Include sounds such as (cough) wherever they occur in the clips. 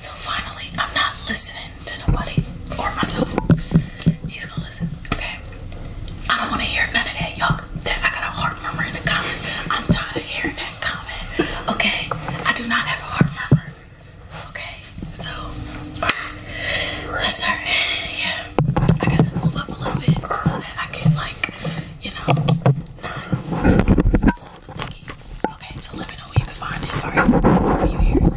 So finally, I'm not listening to nobody or myself. He's gonna listen, okay? I don't wanna hear none of that, y'all. That I got a heart murmur in the comments. I'm tired of hearing that comment, okay? I do not have a heart murmur, okay? So, let's start. Yeah, I gotta move up a little bit so that I can, like, you know, Okay, so let me know where you can find it. Alright, are you hear it? Can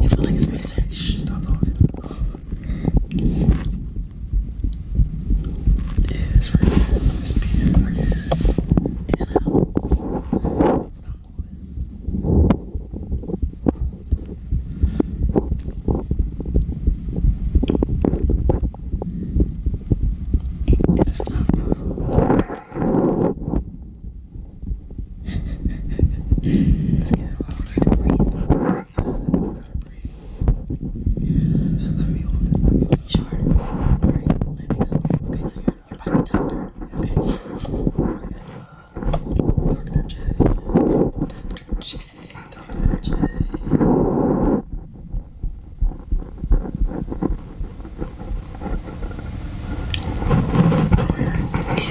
you like it's stop talking. Yeah, it's right It's being right here. In Stop moving. It does not move. See, that allows me to breathe. Uh, you gotta breathe. Let me hold it. Let me make sure. Alright, hold it now. Okay, so you're, you're by the doctor. Okay. Dr. J. Dr. J. Dr. J. Is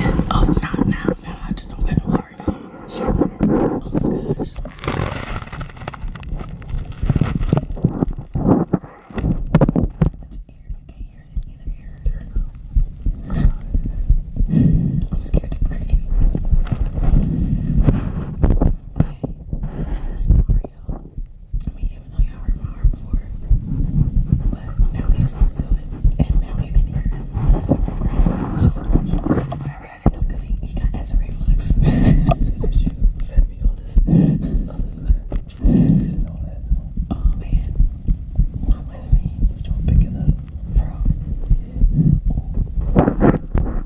it, oh no no no I just don't get no hard Oh my gosh I'm scared to breathe. Okay, so this Mario I mean, even though you heard my heart before, but now he listens to it, and now you can hear it. Whatever that is, he, he got S-ray looks. you fed me all Oh man, not with me. y'all picking up, bro. Yeah.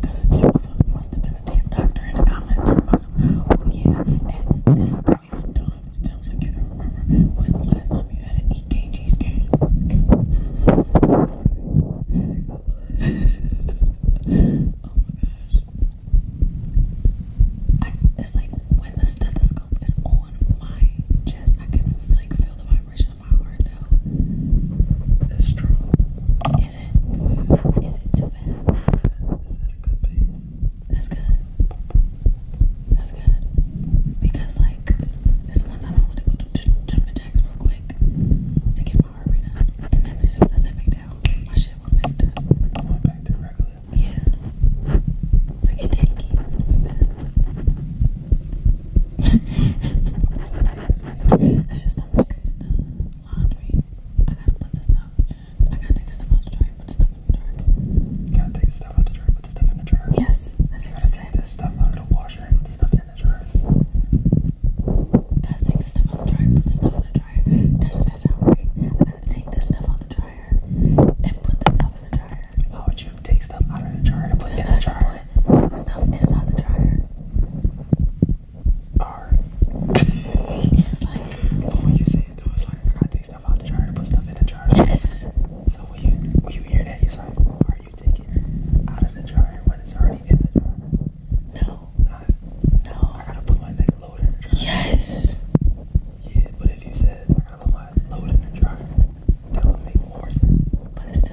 Because Amazon must have been a damn doctor in the comments. Oh, yeah, and this appointment time, as soon as I can remember, was the last time you had an EKG scan. oh my gosh. it's like when the stethoscope is on my chest, I can like feel the vibration of my heart now. It's strong. Is it? Is it too fast? Is it a good pace? That's good. That's good. Because like this one time I wanted to go to jumping jacks real quick to get my heart rate up, and then as soon as I sat back down, my shit went back to. I went back to regular. Yeah. Like it didn't keep going back. (laughs) That's just not my crazy stuff laundry. I gotta put this stuff I gotta take the stuff out the jar put the stuff in the jar. You gotta take the stuff out the jar put the stuff in the jar? Yes. That's you gotta this stuff out of the washer put the stuff in the jar. Gotta take the stuff out the dryer, put the stuff in the dryer. Doesn't that sound right? I gotta take this stuff out the dryer and put the stuff in the dryer. How would you take stuff out of the dryer to put it in the dryer? stuff inside the dryer it's like. But when you say it, though, it's like, I take stuff out the jar put stuff in the jar. Yes. So when you, when you hear that, it's like, are you taking out of the jar when it's already in the jar? No. Not, no. I gotta put my neck load Yes. Yeah, but if you said, I gotta load in the jar, that would make more sense.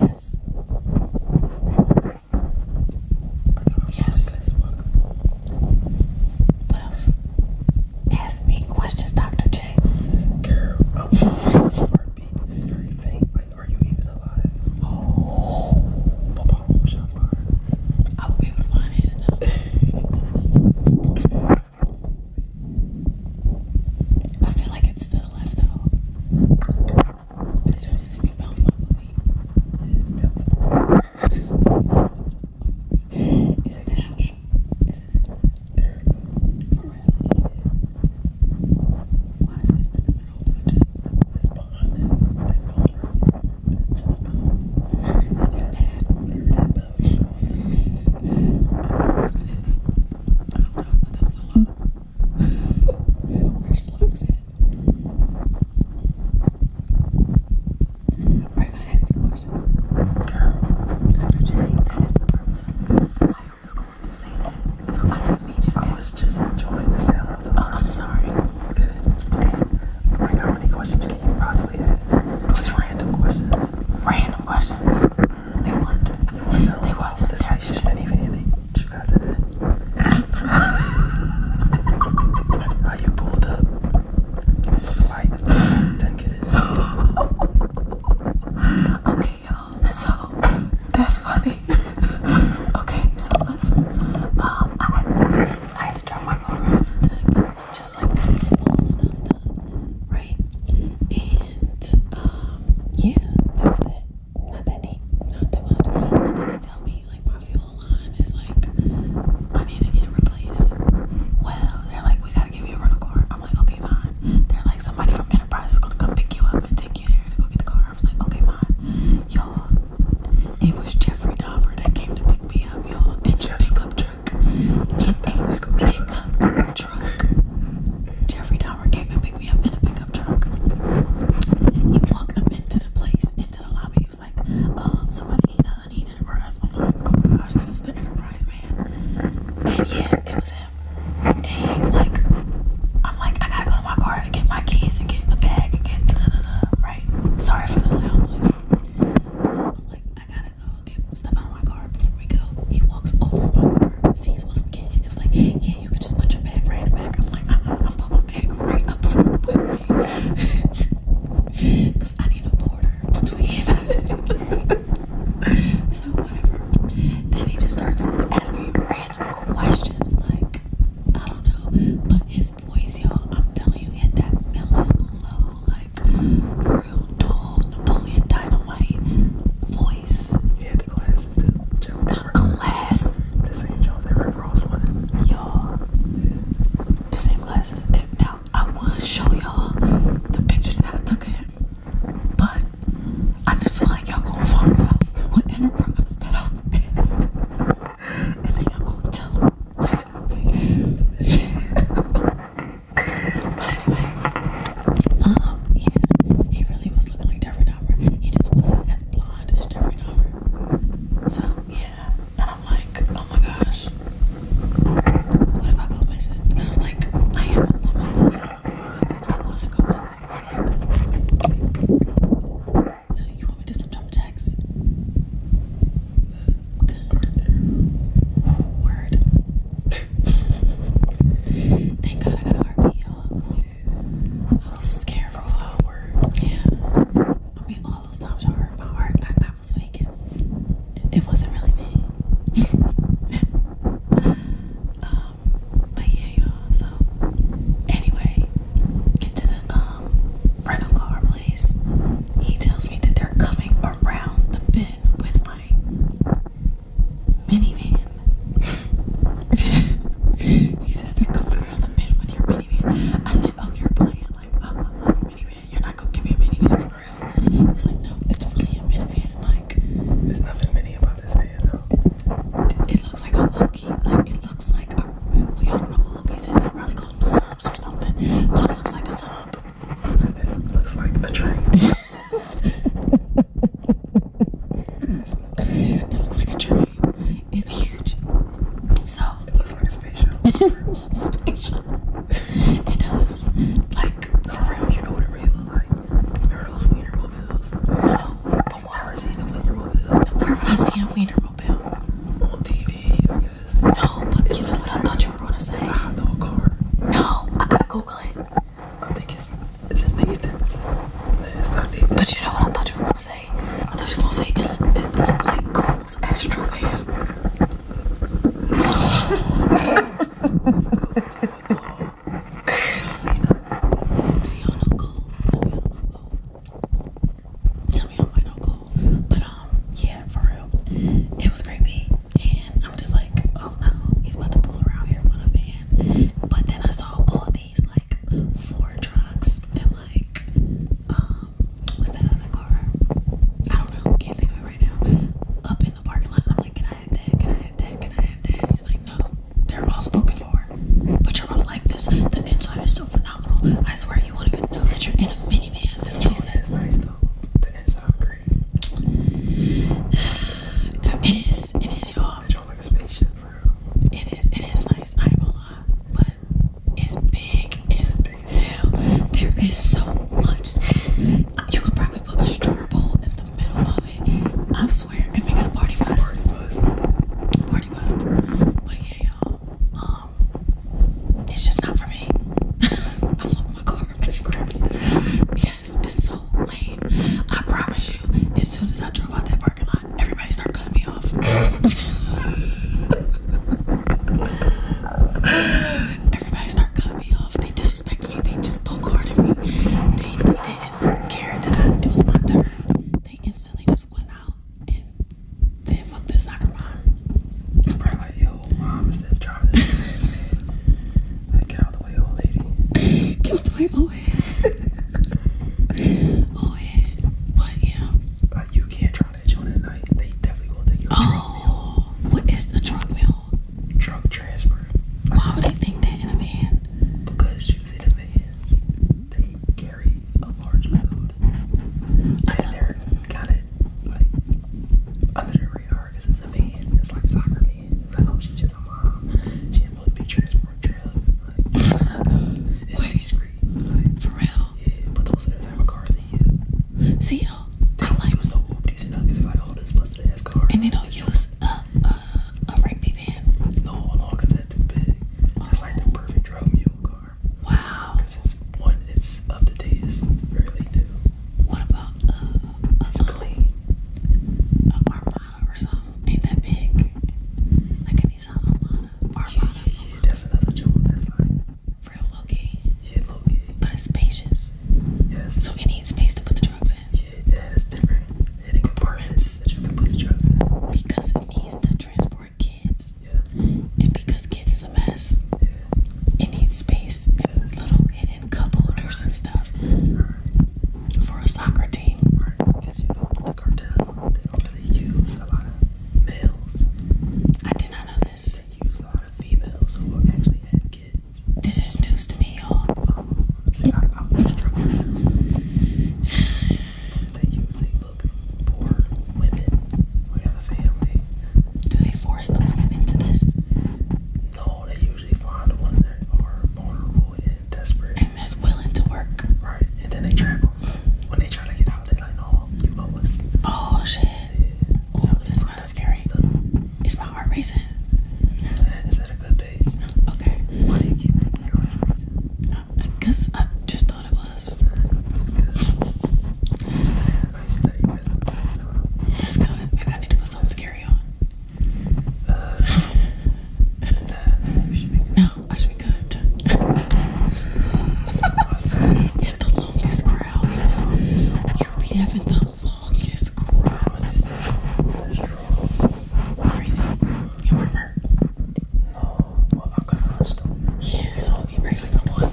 Yes. Yes. What else? Ask me questions, Dr. J. Girl, i (laughs) Heartbeat is very faint. Like, are you even alive? Oh. I will be able to find his though. I feel like it's to the left though. That's what this video sounds like for me. It's bouncing. Is it that? Is it there? For real? Why is it in the middle of the chest? It's behind it. That bone. That chest bone. It's your dad. Whatever that bone is. I don't know if that was a lot. I was just enjoying the sound of the Oh, I'm sorry. Good. Okay. Right now, many questions can you possibly ask? Just random questions. Random questions. They want. They want. They want. This is just anything what you pulled up? Like, thank Okay, y'all. So that's funny. okay, so listen. Um, I had, to drop my car off just like this right? And um, yeah, that it not that they, not too out but then they tell me like my fuel line is like, I need to get it replaced. Well, they're like, we gotta give you a rental car. I'm like, okay, fine. They're like, somebody from Enterprise is gonna come pick you up and take you there to go get the car. I was like, okay, fine. Y'all, it was Jeffrey Dahmer that came to pick me up, y'all, in the pickup truck. In a pickup truck. Jeffrey and He walked up into the place, into the lobby. He was like, um, somebody uh, needed a I'm like, oh my gosh, this is the Enterprise man. And yeah, it was him. And he like, I'm like, I gotta go to my car and get my keys and get a bag and get da da da Right? Sorry for the loud noise. I'm like, I gotta go get step out of my car before we go. He walks over my car, sees what I'm getting, and was like, yeah you can just put your bag right back. I'm like, uh-uh, I'm my bag right up front Because (laughs) I need a border between. (laughs) so, whatever. Then he just starts asking random questions. Like, I don't know. But his voice, y'all, I'm telling you, hit that mellow, low, like, real dull Napoleon Dynamite voice. Yeah, the glass this is the same Not glass. This ain't General Y'all. The same glasses. Now, I would show y'all the pictures that I took of him. But, I just feel like y'all gonna find out what enterprise that I was in. (laughs) And then y'all gonna tell them (laughs) but anyway, um, yeah, he really was looking like Derek He just wasn't as blonde. So yeah. And I'm like, oh my gosh. What if I go myself? I was like, I am not myself. I wanna go with So you want me to do some text? Good. Word. (laughs) Thank God I got a heartbeat, y'all. I was scared for a lot of Yeah. I mean, all those times I hurt my heart, I, I was faking. It, wasn't really me. (laughs) um, but yeah, y'all. So, anyway, get to the um, rental car place. He tells me that they're coming around the bend with my minivan he says they're coming around the mid with your minivan. I said, oh, you're playing. Like, oh, minivan. You're not gonna give me a minivan for real. He's like, no, it's really a minivan. Like, there's nothing mini about this van, though. It, looks like a hokey. Like, it looks like a. all know what hokeys is. They probably call them subs or something. But it looks like a sub. It looks like a train. (laughs) it looks like a tree. It's huge. So it looks like a spaceship. (laughs) shuttle. It does. Like for real. You know what it really looks like? Remember those Wienermobile bills? No. But what? Where would I see a Wienermobile? On TV, I guess. No, but you I thought you were gonna say. a hot dog car. No, I gotta Google it. I think it's but you know what I thought you were going to say? I thought you were going to say it, looked like Cole's Astro fan. (laughs) Do y'all might know Cole. But, um, yeah, for real. It was creepy. And I'm just like, oh no, he's about to pull around here with a van. But then I saw all the these like four trucks and like um, what's that other car? I don't know, can't think of it right now. Up in the parking lot, I'm like, Can I have that? Can I have that? Can I have that? He's like, No, they're all spoken for. But you're going like this. The inside is so phenomenal. I swear you won't even know that you're in a minivan. This place is nice though. The inside (sighs) It is, it it is, it is nice, I ain't going But it's big, it's big as hell. There is so much space. You could probably put a stripper pole in the middle of it. I swear, and we got a party bus. Party bus. Party bus. But yeah, y'all. Um, it's just not for me. (laughs) I love my car. (laughs) It's crappy. Yes, it's so lame. I promise you, as soon as I drove out that parking lot, everybody start cutting me off. everybody start cutting me off. They disrespected me. They just bogarded me. They, they didn't care that I, it was my turn. They instantly just went out and then fuck this soccer mom. It's probably like, yo, mom, is that driving this? (laughs) Like, get out the way, old lady. get out the way, old oh head. But yeah. you can't try that joint at night. They definitely gonna think you're Oh, what is the truck meal? Truck transfer. Why would they think that in a van? Because usually the vans they carry a large load. And they're kind like under the radar because it's a van. It's like soccer van. Like, oh, she's just a mom it's discreet. Like, For real? Yeah, but those are the type of cars they use. See, uh, they don't use no Oopties or nothing. It's like, this busted ass car. And they don't use a, a, a rapey van. No, no, that's too big. That's like the oh. perfect drug mule car. Wow. it's one, it's up to date, it's fairly new. What about a, uh, it's uh, A Armada or something? Ain't that big? Like a yeah, yeah, That's another joint that's like real low Yeah, low But it's spacious. Yes. So it needs space to put the drugs in. Yeah, it has different hidden compartments that you can put the drugs in. Because it needs to transport kids. Yeah. And because kids is a mess. Yeah. It needs space little hidden cup holders and stuff for a soccer team the cartel, they do use a lot of males. I did not know this. use a lot of females who actually have kids. This is news to me, y'all. Um, see, I, I was struggling to They usually look for women who have a family. Do they force the women into this? No, they usually find the ones that are vulnerable and desperate that's willing to work. Right, and then they travel. When they try to get out, they like, no, you know us. Oh shit. Yeah. that's kind of scary. Stuff. my heart racing? is that a good base? Okay. Why do you keep thinking your heart racing? Because uh, I, just thought it was. That's good. That's good. I need to put something scary on. Uh, no, I should be good. (laughs) it's the longest crowd. you be having the longest crowd. Crazy. You remember? Yeah, it's all me breaking the one.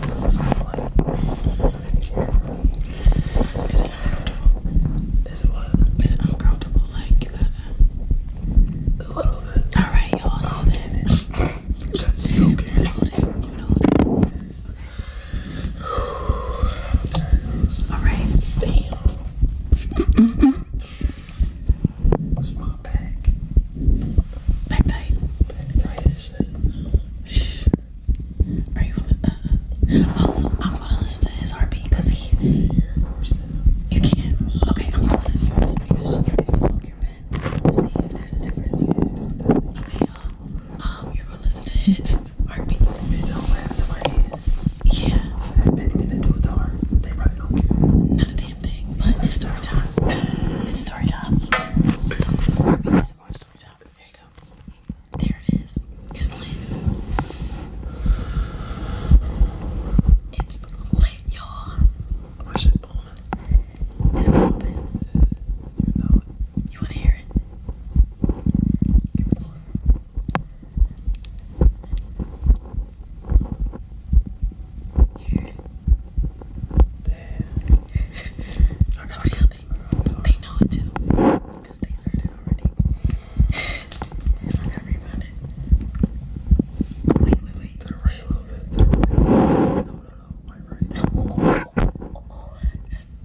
Is it uncomfortable? Is it uncomfortable? Like, you gotta a little bit. All right, y'all. So then, that's hold it. All right. Damn. That's my back. Back tight. Back tight Shh. Are you gonna? Uh, uh, also, I'm gonna listen to his because he. You can't. Okay, I'm gonna listen to yours because you can smoke your pen. let see if there's a difference. Okay, um, um you're gonna listen to his heartbeat. It don't happen to my head. Yeah. It's to do with the They probably don't care. Not a damn thing. But it's story time. It's story time. Heartbeat is more story time. There you go. There it is. It's lit. It's lit open, you it open? It's open. you know it. You wanna hear it? Give Damn. it's real. They, they know it too. Because they heard it already. I gotta rewind it. Wait, wait, wait. To a little bit. No, no, no. My right. Oh, oh,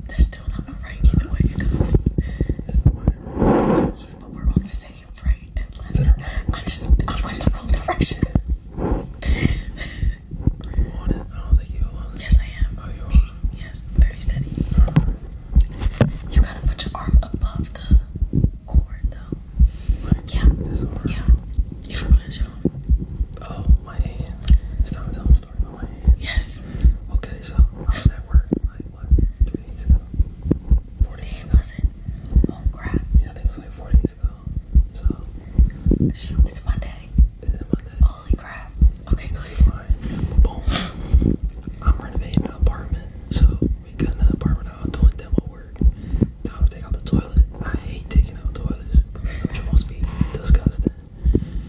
That's, still not my right either way, because. It's my right. But we're on the same right and left. To the just, I'm going the wrong direction. Are it? I don't think you're it. Yes, I am. Are you on Yes, very steady. You gotta put your arm above the cord, though. Like, yeah. This arm. Yeah. You to show. Oh, my hand. It's time to tell a story about my hand. Yes. Okay, so I was at work like what? Three days ago. Four days was it? Oh crap. Yeah, I think it was like four days ago. So Shoot, it's Monday. It's Monday. Holy crap. Okay, go Fine. Boom. I'm renovating an apartment. So we got an apartment out doing demo word. Time to out the toilet. I hate taking out toilets because the be disgusting.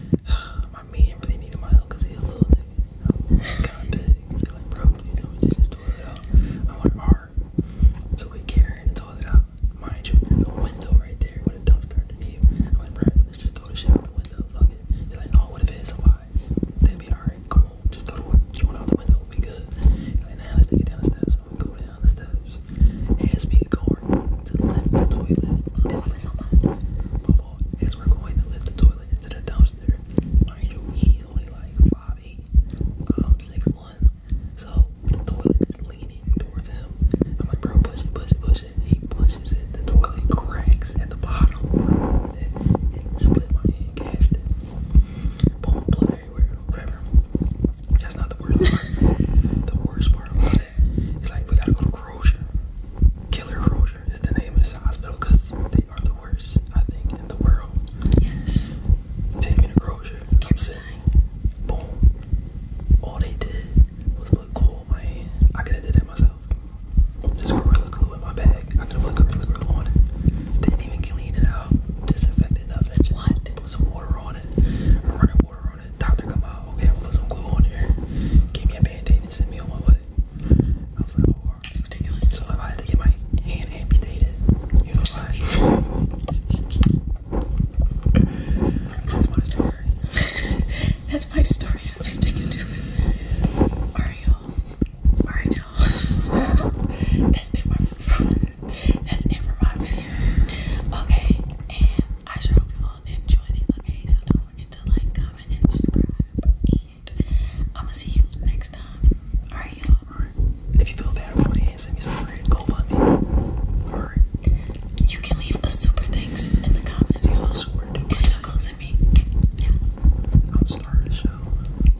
(sighs) my man really needed my help because he's a little nigga. kind of big. they like, bro, please help me just the toilet out. I'm like, alright. So we carrying the toilet out. Mind you, there's a window right there with a dumpster underneath. I'm like, bro, let's just throw the shit out the window. Fuck it. He's like, no, what if it is a lie? They'll be alright, cool. Just throw the one, just out the window. We good. now let's take it down the steps. I'm gonna go down the steps. As we're going to the toilet, my fault. As we're going to lift the toilet into the dumpster, mind you, he's only like 5'8", um, 6'1". So the toilet is leaning towards him. I'm like, bro, push it, push it, push it. He pushes it. The toilet cracks at the bottom. It split my hand, cashed it. Boom, blood whatever. That's not the worst part. the worst part about it is like we gotta go to Crozier. Killer Crozier is the name of this hospital they are the worst, I think, in the world. Yes. Take me to Crozier. i saying, boom. All they did was put glue on my hand. I could have did that myself. There's gorilla glue in my bag. I did look on it. Didn't even clean it out, disinfected nothing. what? Put some water on it, running water on it. Doctor come out, okay, put some glue on here. Gave me a band and sent me on my way. I was like, oh, it's ridiculous. So I had to get my hand amputated, you know why? (laughs) (laughs) That's my story. and I'm sticking to it. Alright, y'all. Alright, that's it for that's it for my video. Okay, and I sure hope you all enjoyed it. Okay, so don't forget to like, comment, and subscribe. And I'ma see you next time. Alright, y'all. If you feel bad about send me some bread. Go for me. Alright. You can leave a super thanks in the comments, y'all. And it'll go to me. Yeah. I'm the show.